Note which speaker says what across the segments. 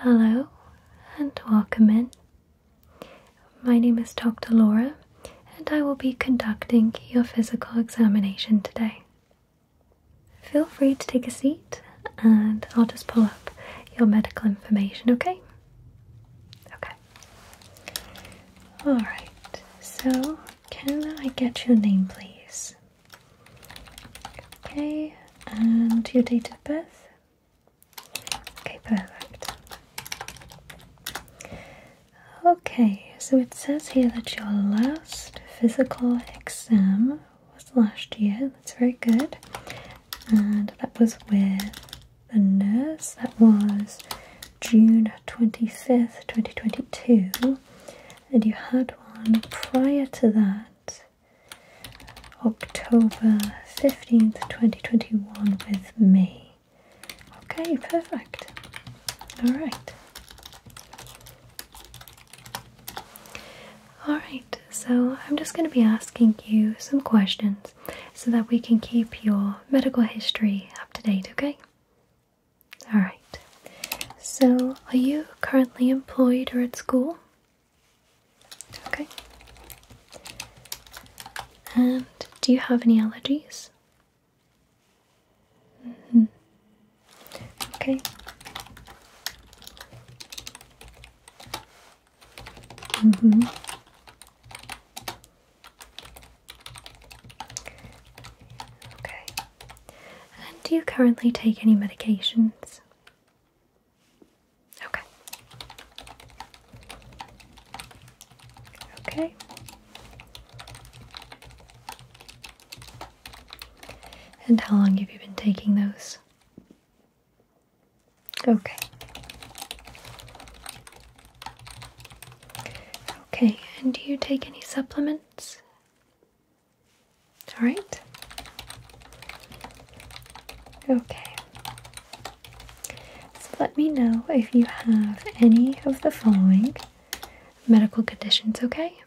Speaker 1: Hello and welcome in. My name is Dr. Laura and I will be conducting your physical examination today. Feel free to take a seat and I'll just pull up your medical information, okay? Okay. Alright, so can I get your name please? Okay, and your date of birth? Okay, perfect. Okay, so it says here that your last physical exam was last year. That's very good. And that was with the nurse. That was June 25th, 2022. And you had one prior to that October 15th, 2021 with me. Okay, perfect. All right. All right, so I'm just going to be asking you some questions so that we can keep your medical history up to date, okay? All right. So, are you currently employed or at school? Okay. And do you have any allergies? -hmm. Okay. -hmm. Okay. And do you currently take any medications? Okay. Okay. And how long have you been taking those? Okay. Okay, and do you take any supplements? All right. Okay. So let me know if you have any of the following medical conditions, okay?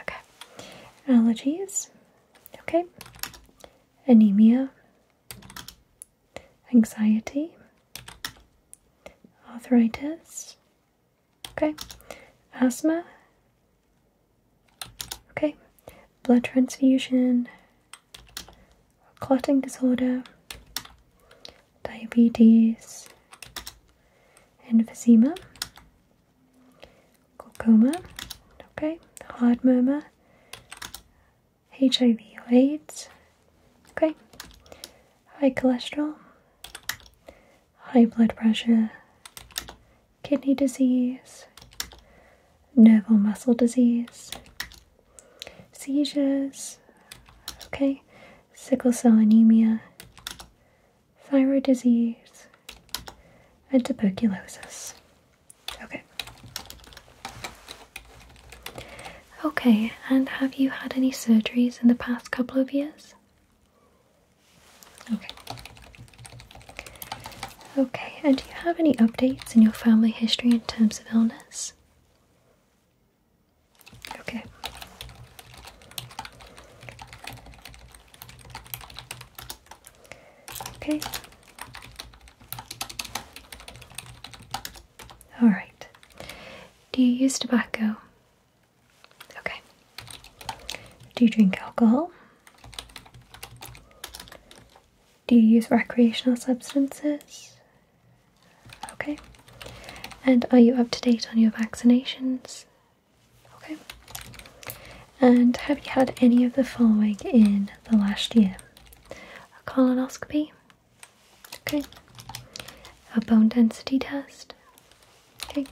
Speaker 1: Okay. Allergies, okay. Anemia, anxiety, arthritis, okay. Asthma, Okay, blood transfusion, clotting disorder, diabetes, emphysema, glaucoma, okay, heart murmur, HIV or AIDS, okay, high cholesterol, high blood pressure, kidney disease, nerve or muscle disease, seizures, okay, sickle cell anemia, thyroid disease, and tuberculosis. Okay. Okay, and have you had any surgeries in the past couple of years? Okay. Okay, and do you have any updates in your family history in terms of illness? Okay. Okay. All right. Do you use tobacco? Okay. Do you drink alcohol? Do you use recreational substances? Okay. And are you up to date on your vaccinations? Okay. And have you had any of the following in the last year? A colonoscopy? Okay. A bone density test? Okay.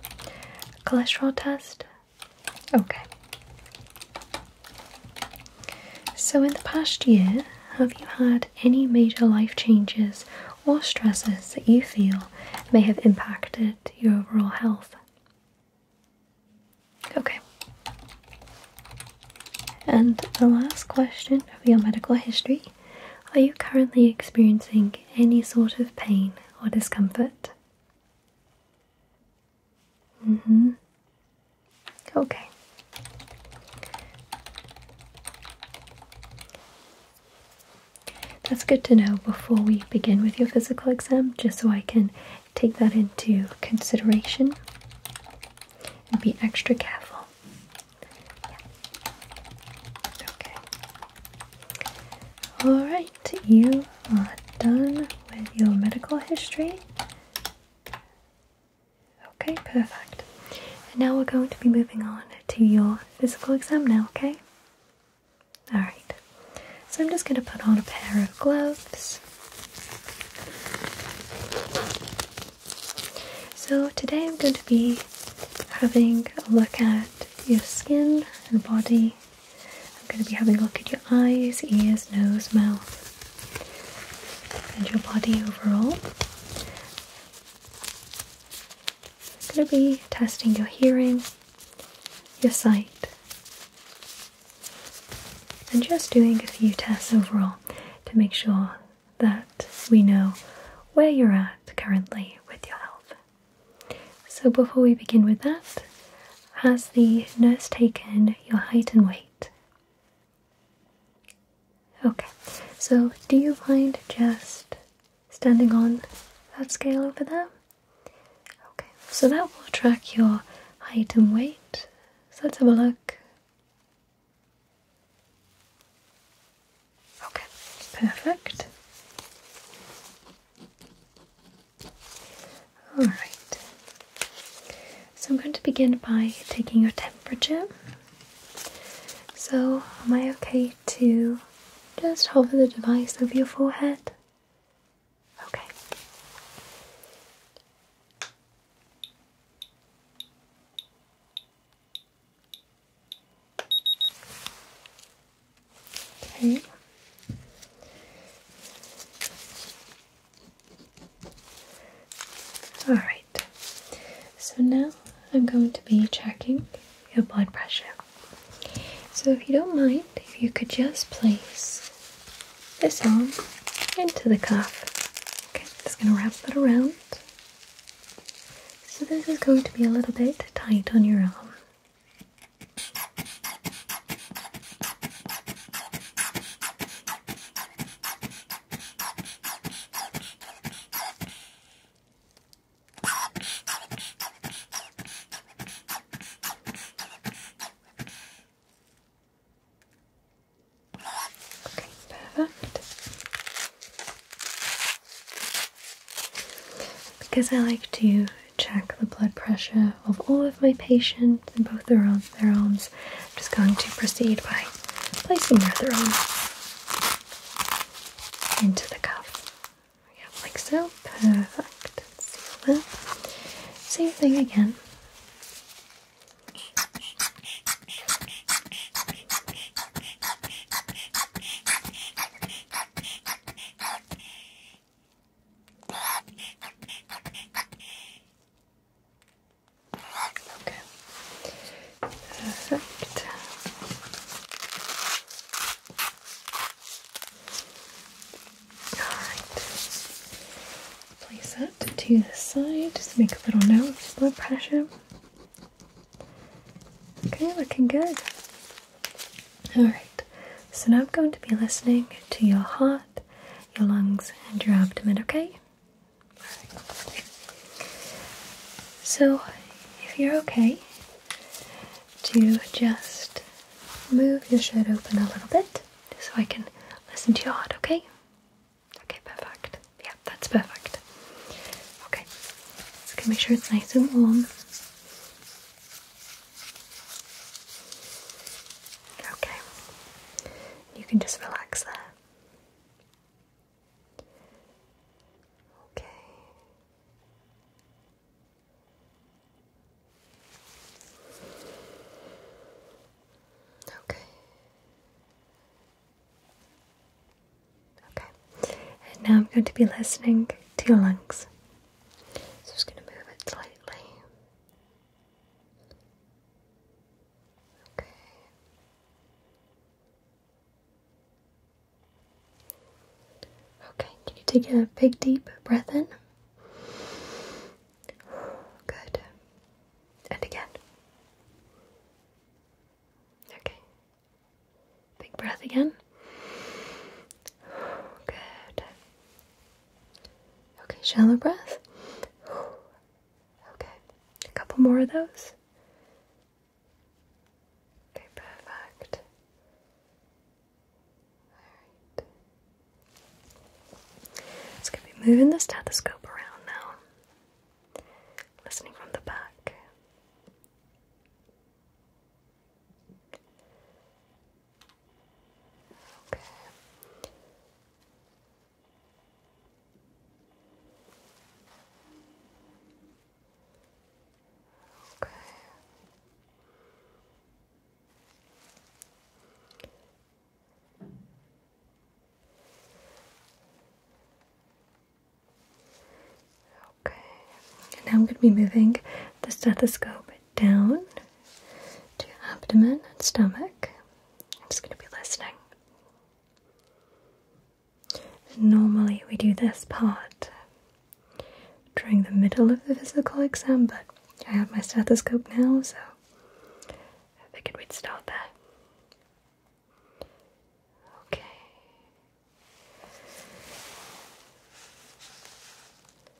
Speaker 1: A cholesterol test? Okay. So, in the past year, have you had any major life changes or stresses that you feel may have impacted your overall health? Okay. And the last question of your medical history Are you currently experiencing any sort of pain or discomfort? Mm-hmm. Okay. That's good to know before we begin with your physical exam, just so I can take that into consideration and be extra careful. Okay. All right you are done with your medical history. Okay, perfect. And now we're going to be moving on to your physical exam now, okay? Alright, so I'm just going to put on a pair of gloves. So today I'm going to be having a look at your skin and body I'm going to be having a look at your eyes, ears, nose, mouth, and your body overall. I'm going to be testing your hearing, your sight, and just doing a few tests overall to make sure that we know where you're at currently with your health. So, before we begin with that, has the nurse taken your height and weight? Okay, so do you mind just standing on that scale over there? Okay, so that will track your height and weight. So let's have a look. Okay, perfect. All right. So I'm going to begin by taking your temperature. So, am I okay to just hover the device over your forehead? Okay. Okay. Alright, so now I'm going to be checking your blood pressure. So, if you don't mind, if you could just place this arm into the cuff. Okay, just going to wrap that around. So, this is going to be a little bit tight on your arm. Okay, perfect. Because I like to check the blood pressure of all of my patients in both their, arms. I'm just going to proceed by placing the other arm into the cuff. like so. Perfect. Same thing again. Okay. Perfect. Alright. Place that to the side. Just make a little note of blood pressure. Okay, looking good. Alright. So now I'm going to be listening to your heart, your lungs, and your abdomen, okay? So, if you're okay, to just move your shirt open a little bit so I can listen to your heart, okay? Okay, perfect. Yeah, that's perfect. Okay, so can make sure it's nice and warm. Okay. You can just relax there. Okay. Okay. Okay. And now I'm going to be listening to your lungs. So I'm just going to move it slightly. Okay. Okay, can you take a big deep breath in? Good. And again. Okay. Big breath again. Good. Okay, shallow breath. Okay, a couple more of those. Okay, perfect. Alright. It's going to be moving the stethoscope around now, listening from the back. Okay. Okay. Okay. now I'm going to be moving the stethoscope down to abdomen and stomach. I'm just going to be listening. Normally, we do this part during the middle of the physical exam, but I have my stethoscope now, so I figured we'd start there. Okay.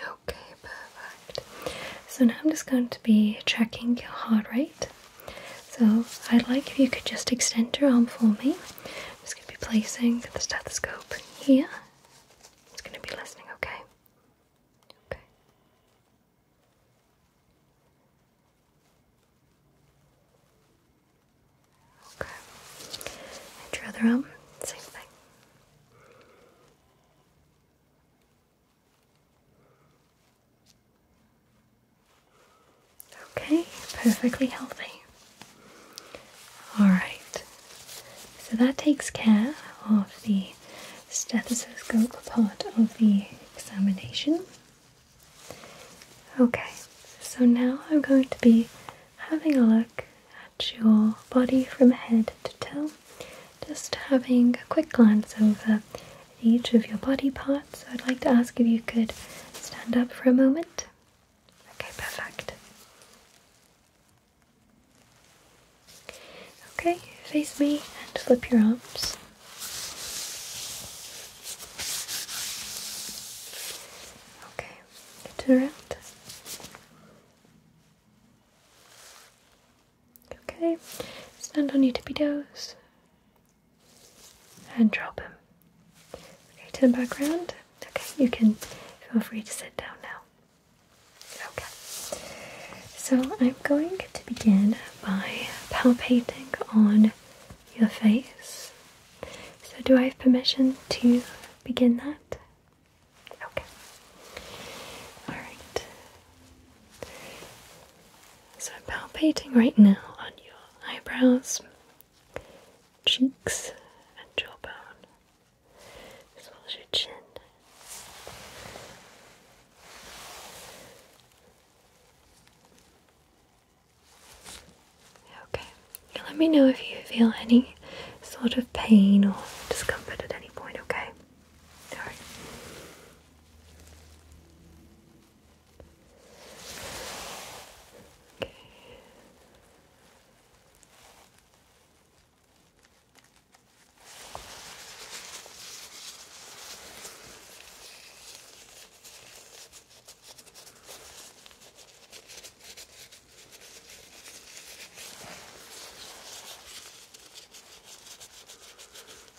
Speaker 1: Okay, perfect. So now I'm just going to be checking your heart rate. So I'd like if you could just extend your arm for me. I'm just going to be placing the stethoscope here. I'm just going to be listening, okay? Okay. Okay. your arm, same thing. Okay, perfectly healthy. Alright, so that takes care of the stethoscope part of the examination. Okay, so now I'm going to be having a look at your body from head to toe just having a quick glance over each of your body parts. I'd like to ask if you could stand up for a moment. Okay, perfect. Okay, face me and flip your arms. Okay, turn around. Okay, stand on your tippy toes and drop them. Okay, turn back around. Okay, you can feel free to sit down now. Okay, so I'm going to begin by palpating on your face. So, do I have permission to begin that? Okay. Alright. So I'm palpating right now on your eyebrows, cheeks, and jawbone, as well as your chin. Okay, let me know if you feel any sort of pain or discomfort at any point, okay? Sorry. Okay.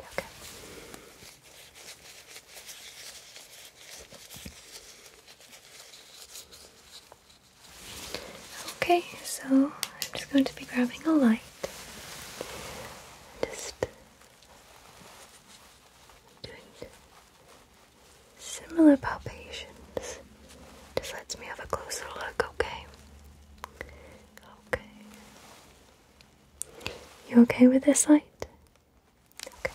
Speaker 1: Okay. Okay, so I'm just going to be grabbing a light. Just doing similar palpations. Just lets me have a closer look, okay? Okay. You okay with this light? Okay. Okay.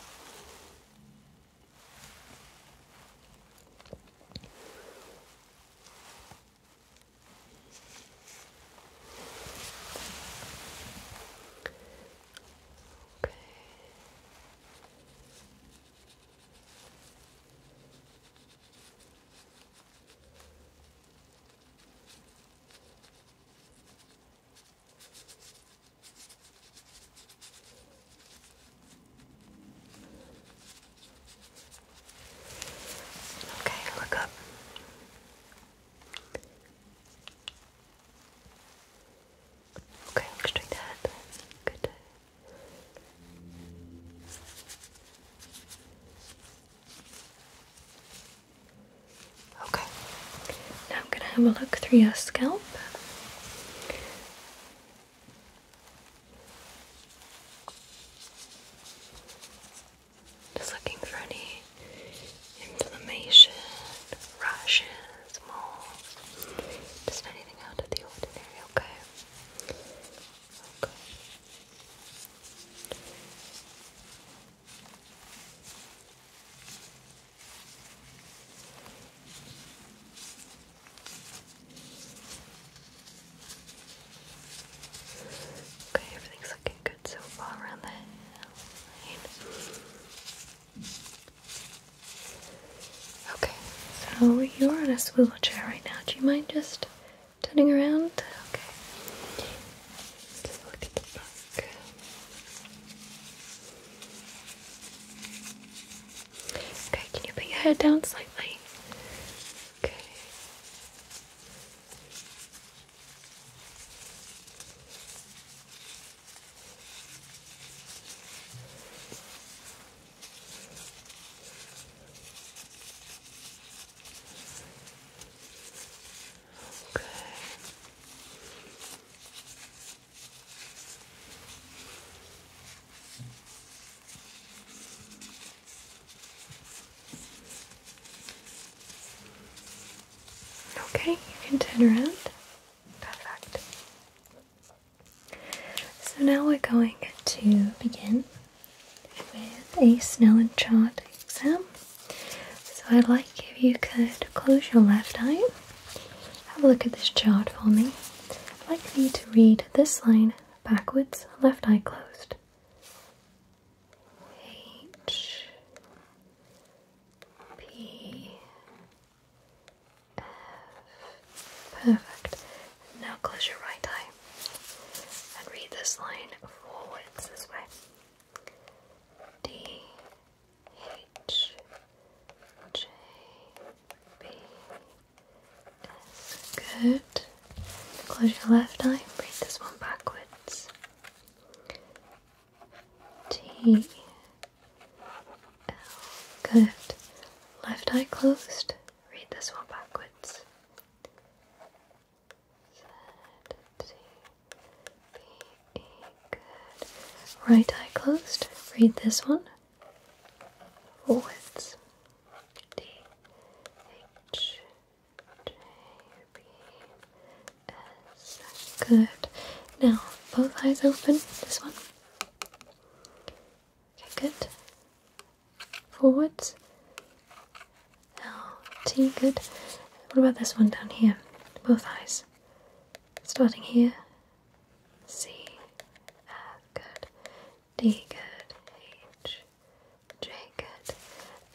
Speaker 1: Okay, look up. Okay, look straight Good. Okay, now I'm going to have a look through your scalp. Just looking for any inflammation, rashes, moles, just anything out of the ordinary, okay? Okay. Okay, everything's looking good so far around the hairline. Okay, so you're on a swivel chair right now. Do you mind just turning around? Okay. Okay, can you put your head down slightly? Okay. Okay. Okay, you can turn around. Perfect. So now we're going to begin with a Snellen chart exam. So I'd like if you could close your left eye. Have a look at this chart for me. I'd like for you to read this line backwards, left eye closed. H P F. Perfect. Now close your right eye and read this line forwards this way. D H J B S. Good. Close your left eye Read this one backwards. T L. Good. Left eye closed. Read this one backwards. Right eye closed. Read this one. Forwards. D, H, J, B, S. Good. Now, both eyes open. This one. Okay, good. Forwards. L, T, good. What about this one down here? Both eyes. Starting here. C, F, good. D, good. H, J, good.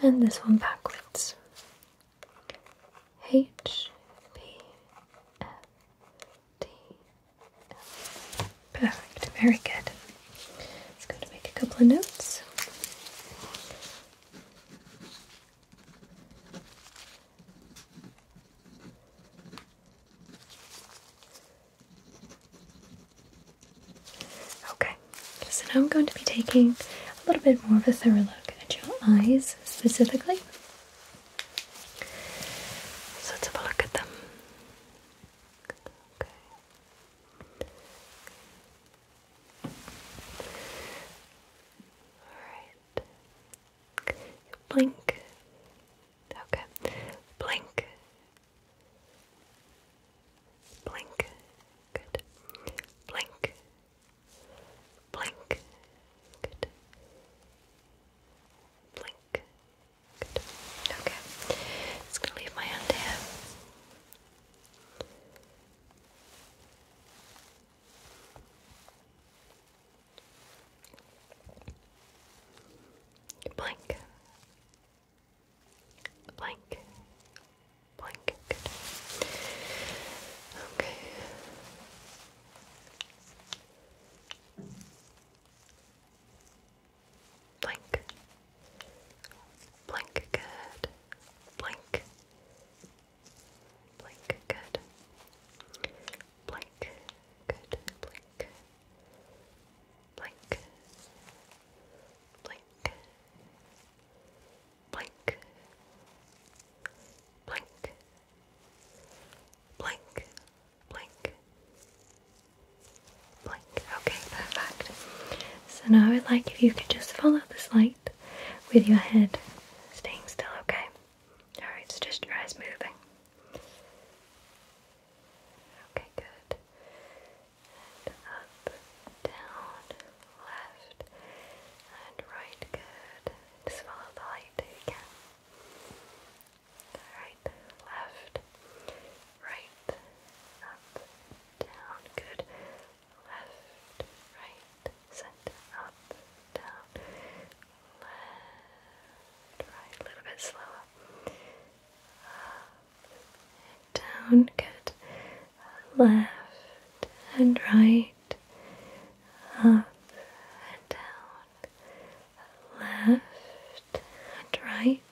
Speaker 1: And this one backwards. H, P, F, D, F. Perfect. Very good. It's going to make a couple of notes. Okay, so now I'm going to be taking a little bit more of a thorough look at your eyes specifically. So let a look at them. Okay. Alright blink. Okay, blink, blink, good, blink, blink, good, blink, good. Okay, just gonna leave my hand here. Blank. Blank. Blank. Okay. Blank. Blank. Good. Blank. Blink, good. Blink, good. Blink. Blink. Blink. Blink. Blink. Blink. Blink. Okay, perfect. So now I would like if you could just follow this light with your head staying still, okay? Alright, so just your eyes moving. Okay, good. up, down, left, and right, good. Just follow the light if Alright, left, right, up, down, good. Left, right, center, up, down, left, right, a little bit slower, up, down, good, left and right, up down, left and right,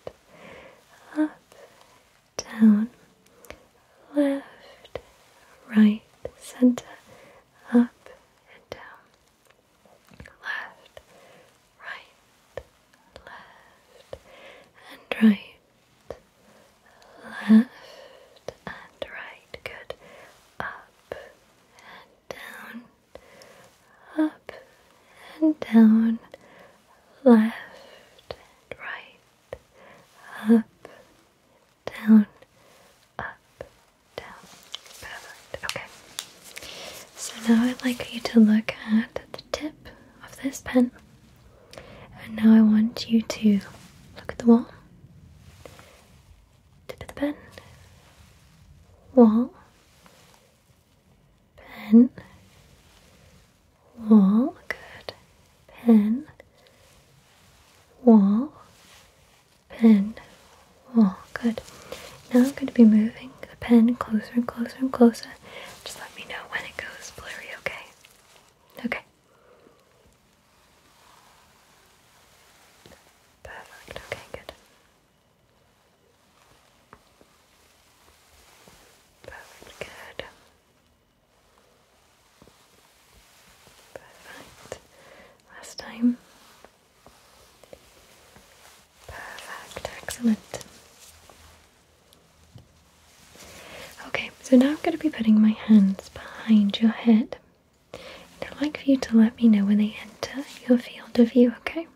Speaker 1: up, down, left, right, center, up and down, left, right, left and right, left and right, good, up and down, up and down, left and right, up down, up, down. Perfect. Okay. So now I'd like you to look at the tip of this pen. And now I want you to look at the wall. Tip of the pen. Wall. Pen. Wall. Good. Pen. Wall pen. Oh, good. Now I'm going to be moving the pen closer and closer and closer. Just let me know when it goes blurry, okay? Okay. Perfect. Okay, good. Perfect. Good. Perfect. Last time. Perfect. Excellent. Okay, so now I'm going to be putting my hands behind your head. I'd like for you to let me know when they enter your field of view, okay?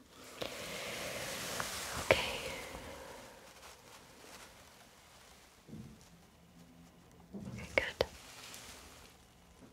Speaker 1: Okay. Okay, good.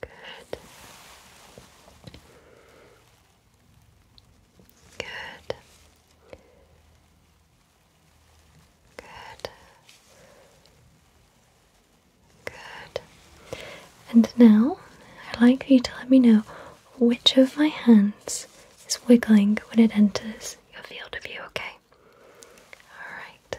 Speaker 1: Good. Good. Good. Good. And now I'd like you to let me know which of my hands is wiggling when it enters your field of view, okay? Alright.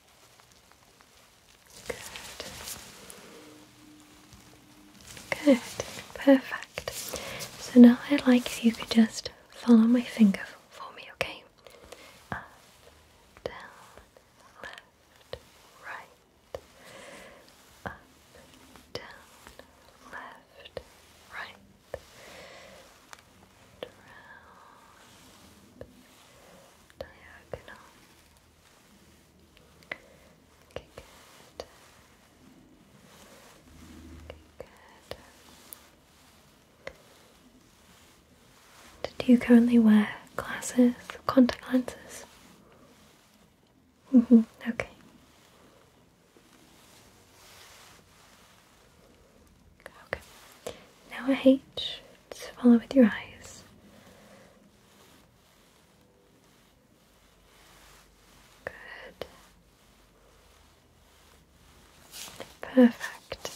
Speaker 1: Good. Good. Perfect. So now I'd like you could just follow my finger for me, okay? down, left, right. Up, down, left, right. round. Do you currently wear glasses, contact lenses? Mm -hmm. Okay. Okay. Now hate. Just follow with your eyes. Good. Perfect.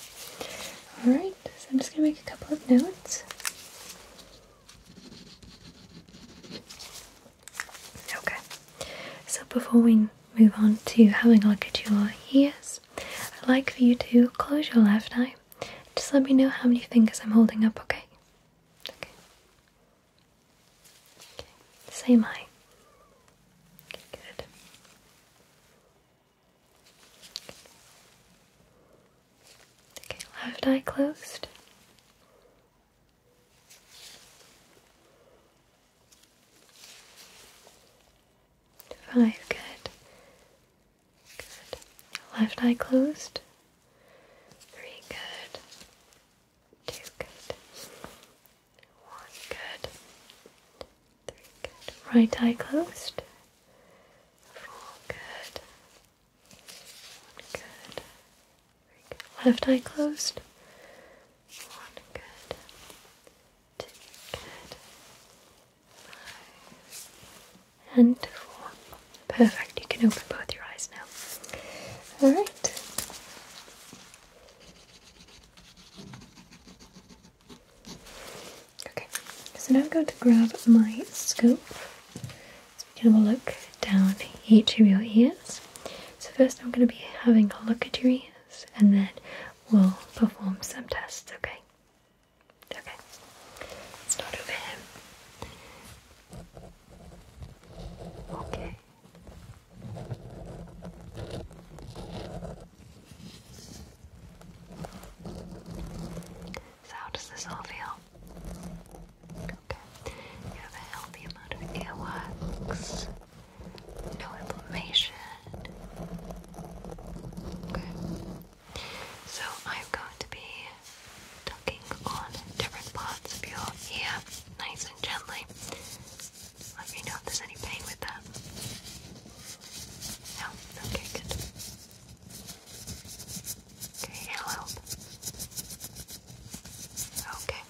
Speaker 1: Alright, so I'm just going to make a couple of notes. Okay, so before we move on to having a look at your ears, I'd like for you to close your left eye just let me know how many fingers I'm holding up, okay? Okay. Okay. Same eye. Okay, good. Okay, left eye closed. Five, good. Left eye closed. Three good. Two good. One good. Three good. Right eye closed. Four good. One good. Three good. Left eye closed. One good. Two good and four. Perfect. You can open both your eyes now. All right. Okay. So now I'm going to grab my scope. So we can have a look down each of your ears. So first, I'm going to be having a look at your ears, and then we'll perform some tests. Okay. Okay. It's not over him. Okay. So how does this all feel? Okay. You have a healthy amount of earwax. No inflammation. Okay. So I'm going to be tucking on different parts of your ear nice and gently. Let me know if there's any pain with that. No? Okay, good. Okay, it'll help. Okay.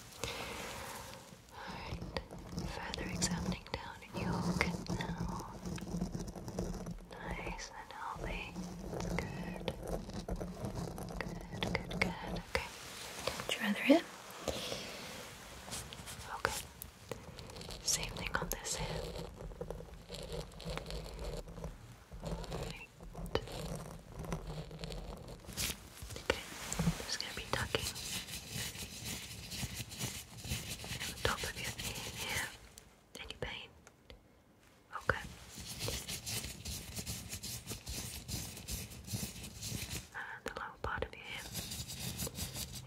Speaker 1: Alright, further examining down your now. Nice and healthy. Good. Good, good, good. Okay. Would you rather hip? Okay. Same thing on this hip. Right. Okay. I'm just gonna be tucking at the top of your ear here. Any pain? Okay. And the lower part of your ear.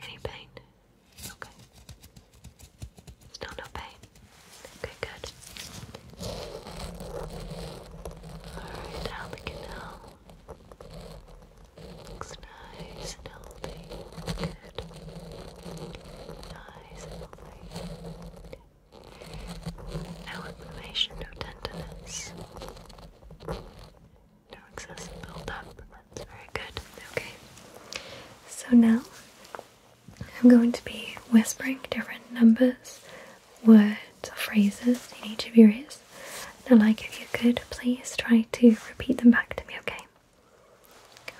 Speaker 1: Any pain? Okay. Still no pain? Okay, good. Alright, down the canal. Um, looks nice and healthy. Good. Now no inflammation, no tenderness. No excessive buildup. That's very good. Okay. So now I'm going to be whispering different numbers, words, or phrases in each of your ears. Now, like if you could please try to repeat them back to me, okay?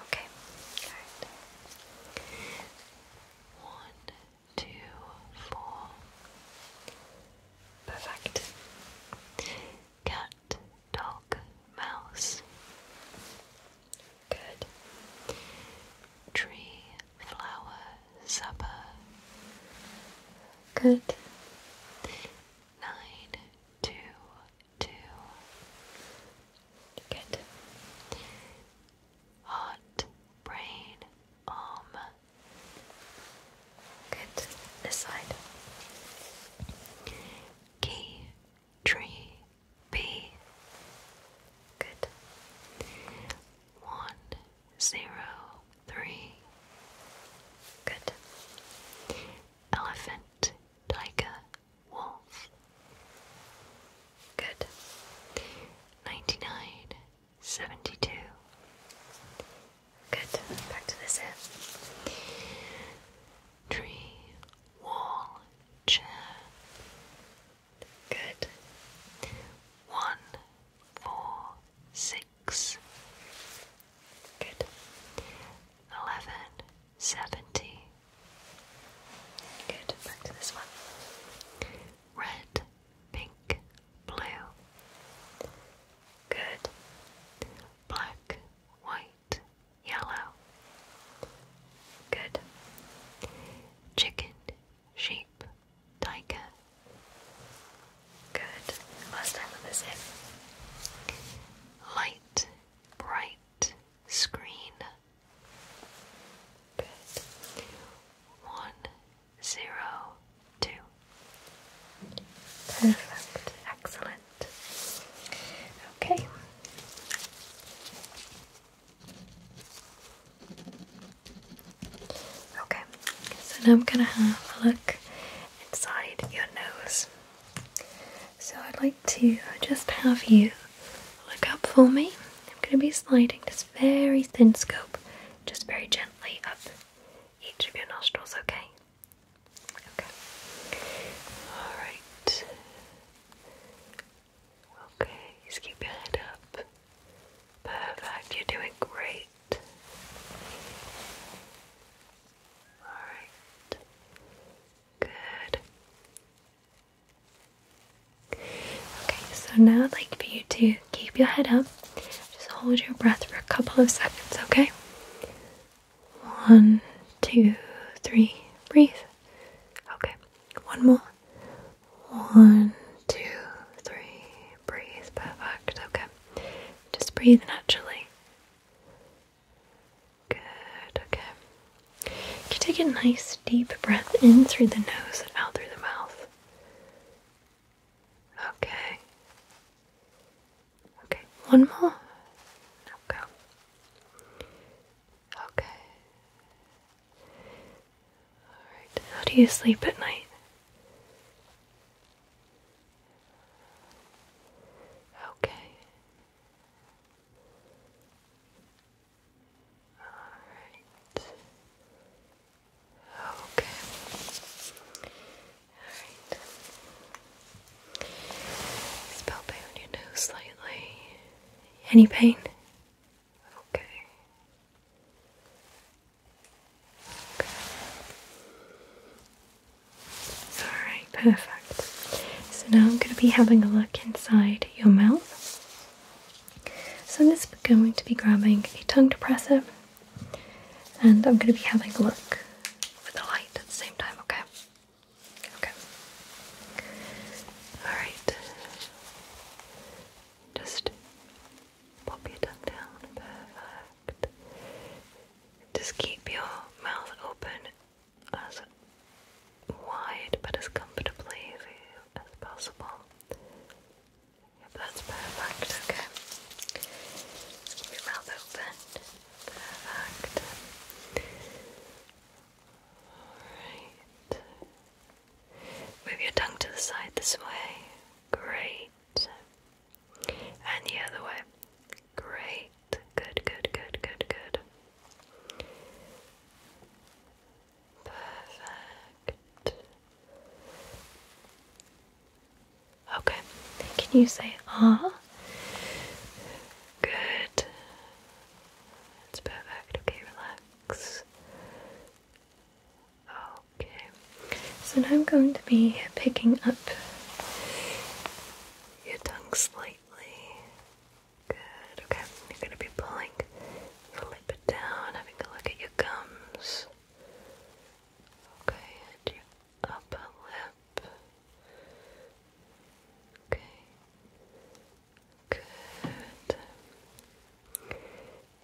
Speaker 1: Okay, One, two, four. Perfect. Cat, dog, mouse. Good. Tree, flower, supper. Good. Nine, two, two. Good. Heart, brain, arm. Um, good. This side. Key, tree, bee. Good. One, zero, three. Good. Elephant, tiger, wolf. Good. Ninety nine, seventy two. Good. Back to this end. Tree, wall, chair. Good. One, four, six. Good. Eleven, seventy. Good, back to this one. Red, pink, blue. Good. Black, white, yellow. Good. Chicken, sheep, tiger. Good. Last time with this Light, bright, screen, Good. One, zero, two. Perfect. Excellent. Okay. Okay, so now I'm going to have a look inside your nose. So I'd like to uh, just have you look up for me. I'm going to be sliding this very thin scope just very gently up each of your nostrils, okay? Okay. Alright. Okay, just keep your head up. Perfect, you're doing great. Alright. Good. Okay, so now I'd like for you to keep your head up. Just hold your breath for a couple of seconds, okay? One, two, three, breathe. Okay, one more. One, two, three, breathe. Perfect, okay. Just breathe naturally. Good, okay. You can take a nice deep breath in through the nose and out through the mouth. Okay. Okay, one more. Okay. Okay. Alright, how do you sleep at night? Okay. Alright. Okay. Alright. Is palpate on your nose slightly. Any pain? Okay. Okay. Alright, perfect. So now I'm going to be having a look inside your mouth. So I'm just going to be grabbing a tongue depressor and I'm going to be having a look with the light at the same time, okay? Okay. Alright. Just pop your tongue down. Just keep your mouth open wide but as comfortably as possible. Yep, that's perfect, okay. Keep your mouth open. Perfect. Alright. Move your tongue to the side this way. Great. And the other way. Great. Good, good, good, good, good. Perfect. Okay, can you say ah? Good. It's perfect. Okay, relax. Okay. So now I'm going to be picking up your tongue slightly Good, okay. You're going to be pulling your lip down, having a look at your gums. Okay, your upper lip. Okay. Good.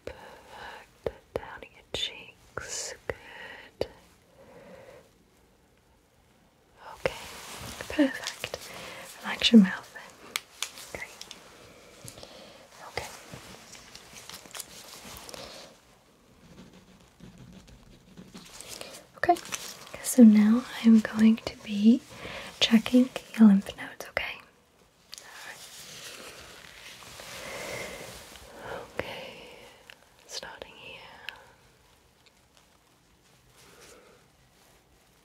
Speaker 1: Perfect. Down your cheeks. Good. Okay, perfect. Relax your mouth then. Great. Okay. Okay, so now I'm going to be checking your lymph nodes, okay? Okay, starting here.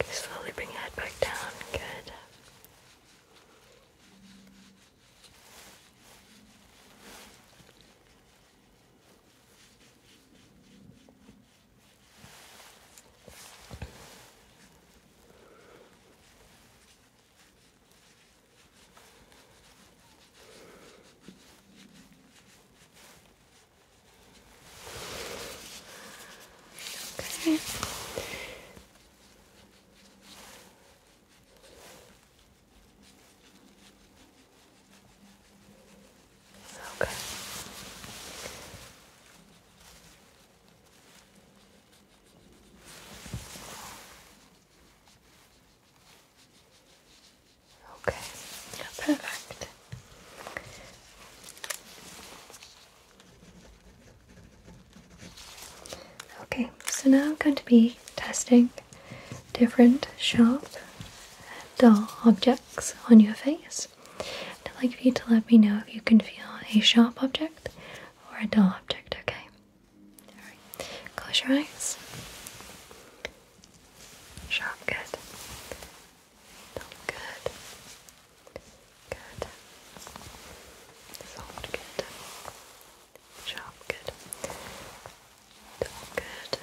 Speaker 1: Okay, slowly bring your head back down. Good. Okay. Okay. Okay. Perfect. Okay, so now I'm going to be testing different sharp dull objects on your face. I'd like you to let me know if you can feel a sharp object or a dull object, okay? Alright, close your eyes. Sharp, good. Good. Good. Soft, good. Sharp, good. good. Sharp, Good. Good. Good. Good. Good.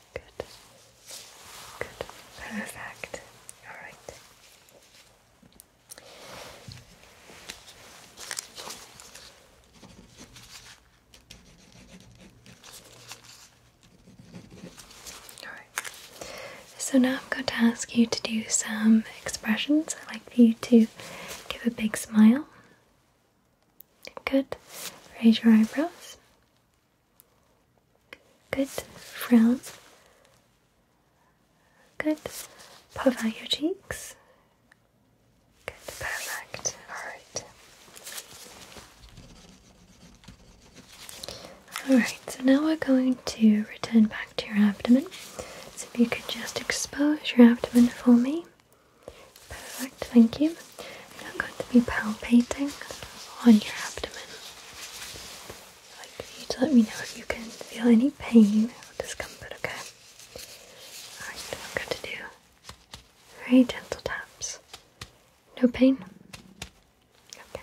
Speaker 1: Good. Good. Perfect. All right. All right. So now I'm going to ask you to do some expressions. I'd like for you to give a big smile. Good. Raise your eyebrows. Good. Frown. Good. Puff out your cheeks. Good. Perfect. Alright. Alright, so now we're going to return back to your abdomen. So if you could just expose your abdomen for me. Perfect, thank you. I'm going to be palpating on your abdomen. like for you to let me know if you can feel any pain or discomfort, okay? Alright, I'm going to do very gentle taps. No pain? Okay.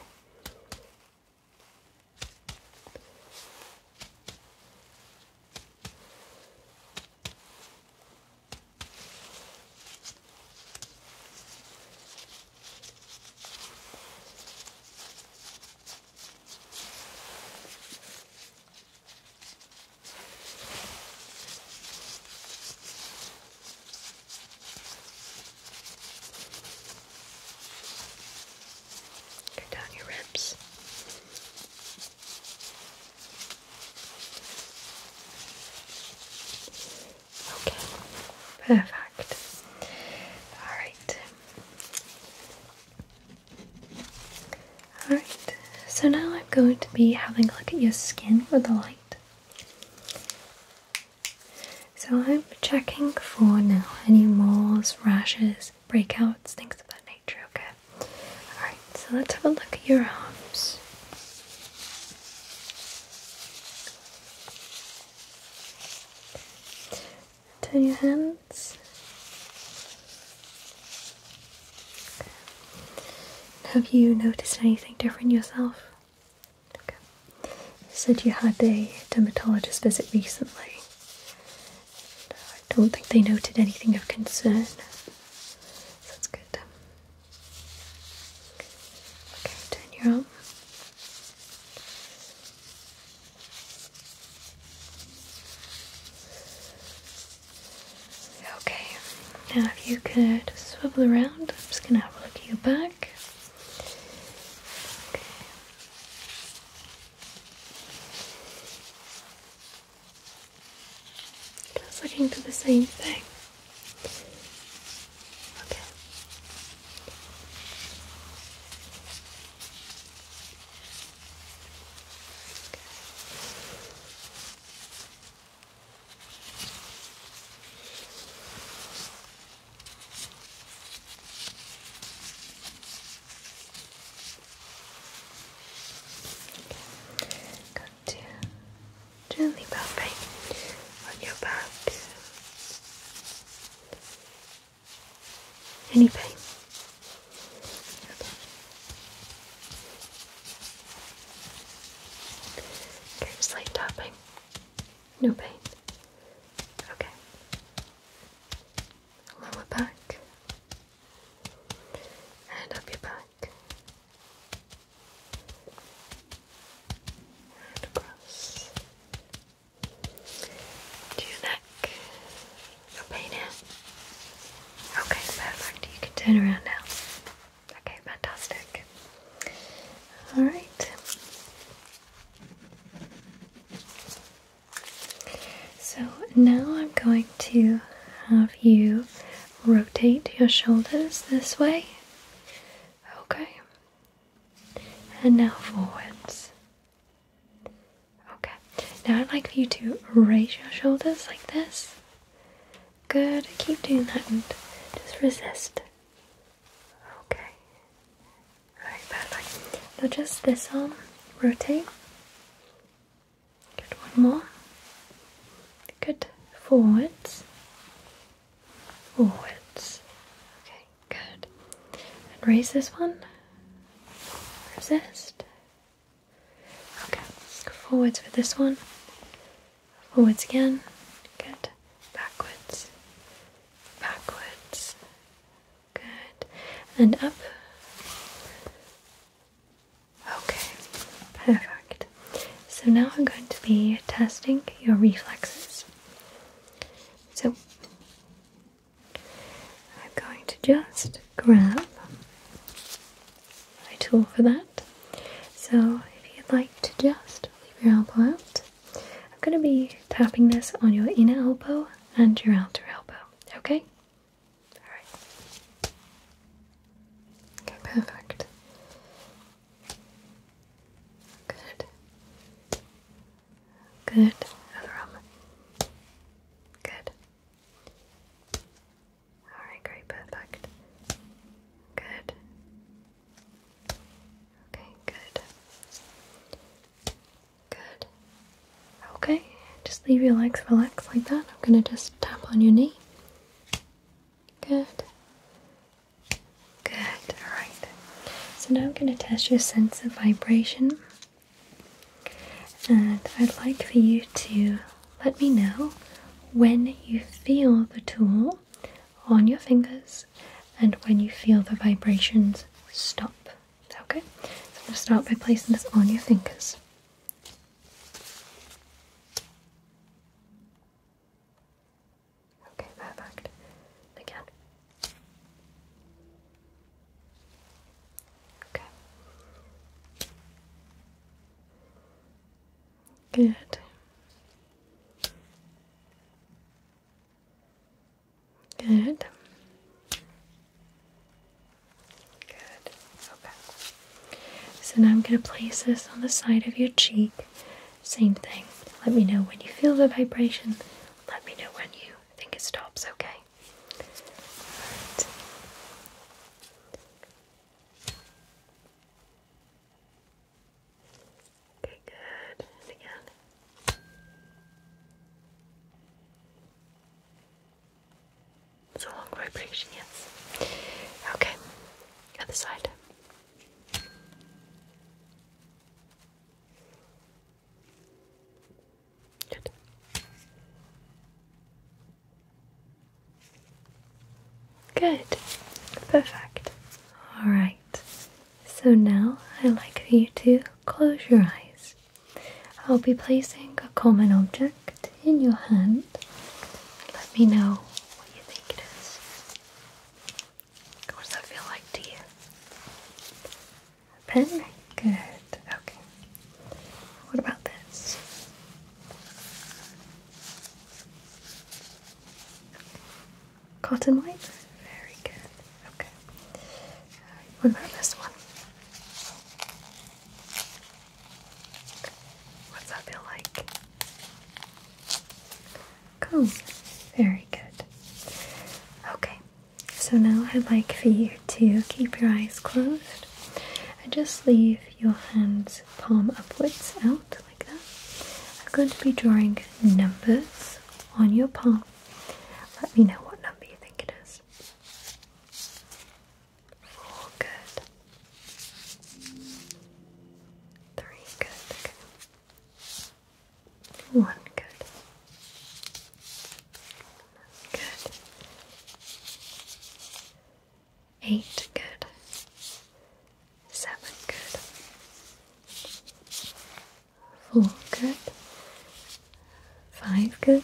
Speaker 1: Go down your ribs. Okay, perfect. All right. All right. So now I'm going to be having a look at your skin with the light. So I'm checking for now any moles, rashes, breakouts, things of that nature. Okay. All right. So let's have a look at your arms. Turn your hands. Have you noticed anything different yourself? You said you had a dermatologist visit recently. I don't think they noted anything of concern. that's good. Okay, turn your arm. Okay, now if you could swivel around, I'm just gonna have a look at your back. Okay. Just looking for the same thing. Okay. Got to gently bumping on your back. Any pain? Okay. okay, slight tapping. No pain. Okay. Lower back and up your back across to your neck. No pain Okay, perfect. You can turn around now. Okay, fantastic. All right. So now I'm going to have you rotate your shoulders this way Okay. And now forwards. Okay. Now I'd like for you to raise your shoulders like this. Good. Keep doing that and just resist. Okay. Alright, Now just this arm, rotate. Good, one more. Good, forwards forwards. Okay, good. And raise this one. Resist. Okay, let's go forwards with this one. Forwards again. Good. Backwards. Backwards. Good. And up. Okay, perfect. So now I'm going to be testing your reflexes. So I'm going to just grab my tool for that. So if you'd like to just leave your elbow out, I'm going to be tapping this on your inner elbow and your outer elbow. Okay? Alright. Okay, perfect. Good. Good, Avram. Good. Alright, great, perfect. Good. Okay, good. Good. Okay, just leave your legs relaxed like that. I'm gonna just tap on your knee. Good. Good, alright. So now I'm going to test your sense of vibration. And I'd like for you to let me know when you feel the tool on your fingers and when you feel the vibrations stop. Okay? So I'm going to start by placing this on your fingers. Okay, perfect. Again. Okay. Good. Good. Good. So now I'm going to place this on the side of your cheek. Same thing. Let me know when you feel the vibration. Let me know when you think it stops, okay? Okay, good. again. It's a long vibration, yes. Okay, other side. Good. Good. Perfect. All right. So now I'd like for you to close your eyes. I'll be placing a common object in your hand. Let me know what you think it is. What does that feel like to you? pen? Good. Okay. What about this? Cotton white. Very good. Okay. Alright, uh, what about this one? What's that feel like? Cool. Very good. Okay, so now I'd like for you to keep your eyes closed and just leave your hands palm upwards out like that. I'm going to be drawing numbers on your palm. Let me know what number you think it is. Four, good. Three, good. One good. Good. Eight good. Seven good. Four good. Five good.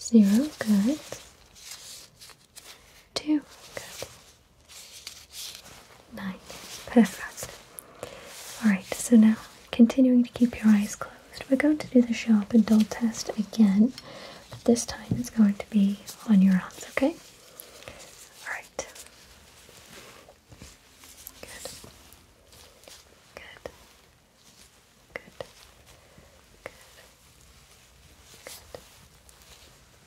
Speaker 1: Zero good. Two good. Nine. Perfect. Alright, so now continuing to keep your eyes closed, we're going to do the sharp and dull test again, this time it's going to be on your arms. okay? Alright. Good. Good. Good. Good. Good.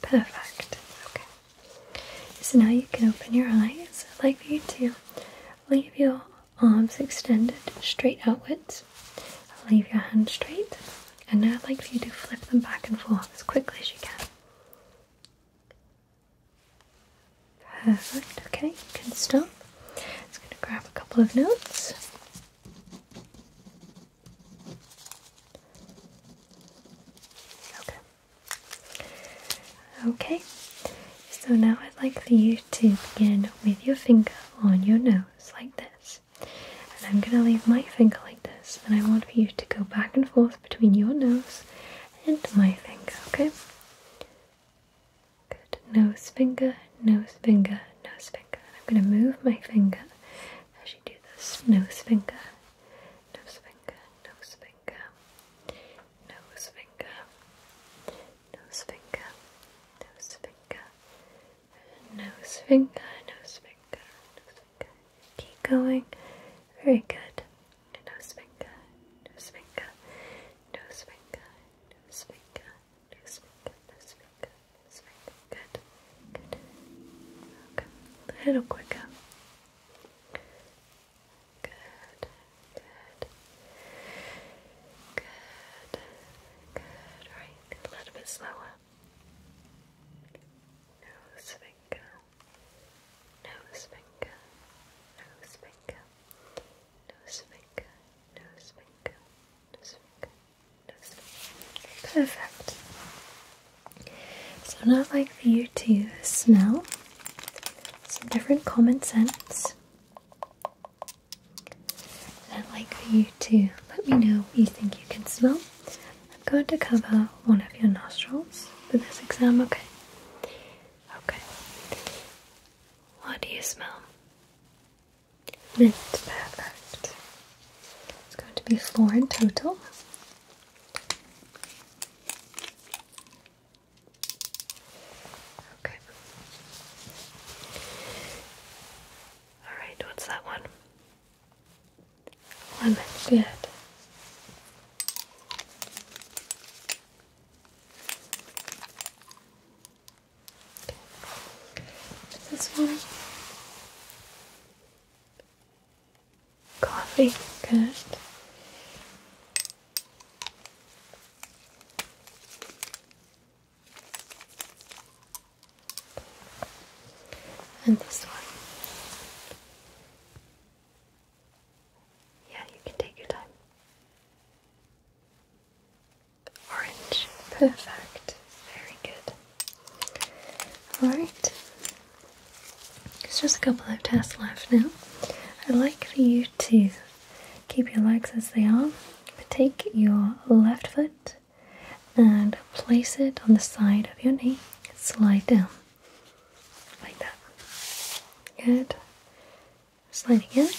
Speaker 1: Perfect. Okay. So now you can open your eyes. I'd like you to leave your arms extended straight outwards. Leave your hand straight, and now I'd like for you to flip them back and forth as quickly as you can. Perfect, okay, you can stop. It's going to grab a couple of notes. Okay. Okay, so now I'd like for you to begin with your finger on your nose nose like this. And I'm going to leave my finger like this, and I want for you to go back and forth between your nose and my finger, okay? Good. Nose finger, nose finger, nose finger. And I'm going to move my finger as you do this. Nose finger, nose finger, nose finger, nose finger, nose finger, nose finger, nose finger, nose finger, nose finger. Keep going. Very good. Nose finger, nose finger, nose finger, nose finger, nose finger, nose finger, nose finger. Good. Good. Okay. A little quicker. Good. Good. Good. Good. Right a little bit slower. Nose finger, nose finger, nose finger, nose Perfect. So now I'd like for you to smell some different common scents. I'd like you to let me know what you think you can smell. I'm going to cover one of your nostrils for this exam, okay? Okay. What do you smell? Mint, perfect. It's going to be four in total. Okay. Alright, what's that one? Lemon, good. This one. Coffee, good. And this one. Yeah, you can take your time. Orange. Perfect. Very good. Alright. It's just a couple of tasks left now. I'd like for you to keep your legs as they are, but take your left foot and place it on the side of your knee. Slide down like that. Good. Slide again.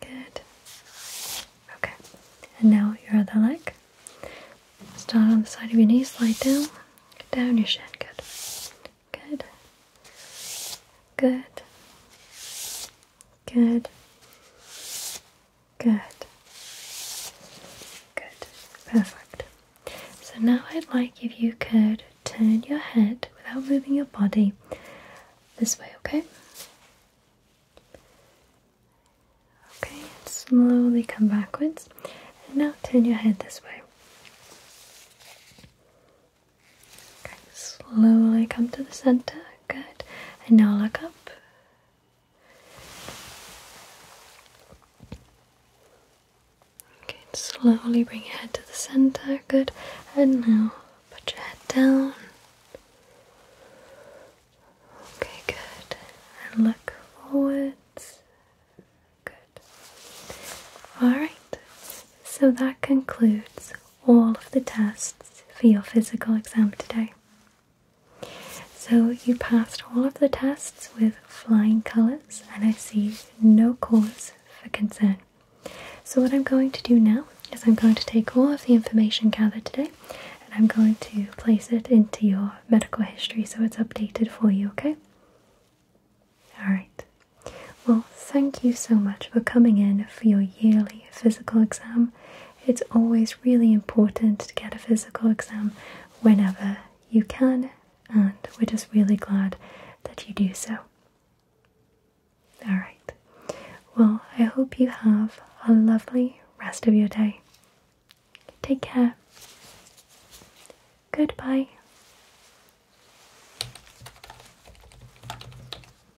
Speaker 1: Good. Okay. And now your other leg. Start on the side of your knee. Slide down. Get down your shin. Good. Good. Good. Good. Good. Good. Perfect. So now I'd like if you could turn your head without moving your body this way, okay? Okay, and slowly come backwards. And now turn your head this way. Okay, slowly come to the center. Good. And now look up. Okay, slowly bring your head to the center. Good. And now put your head down. Okay, good. And look forwards. Good. Alright, so that concludes all of the tests for your physical exam today. So, you passed all of the tests with flying colours, and I see no cause for concern. So, what I'm going to do now is I'm going to take all of the information gathered today and I'm going to place it into your medical history so it's updated for you, okay? Alright. Well, thank you so much for coming in for your yearly physical exam it's always really important to get a physical exam whenever you can, and we're just really glad that you do so. Alright, well, I hope you have a lovely rest of your day. Take care. Goodbye.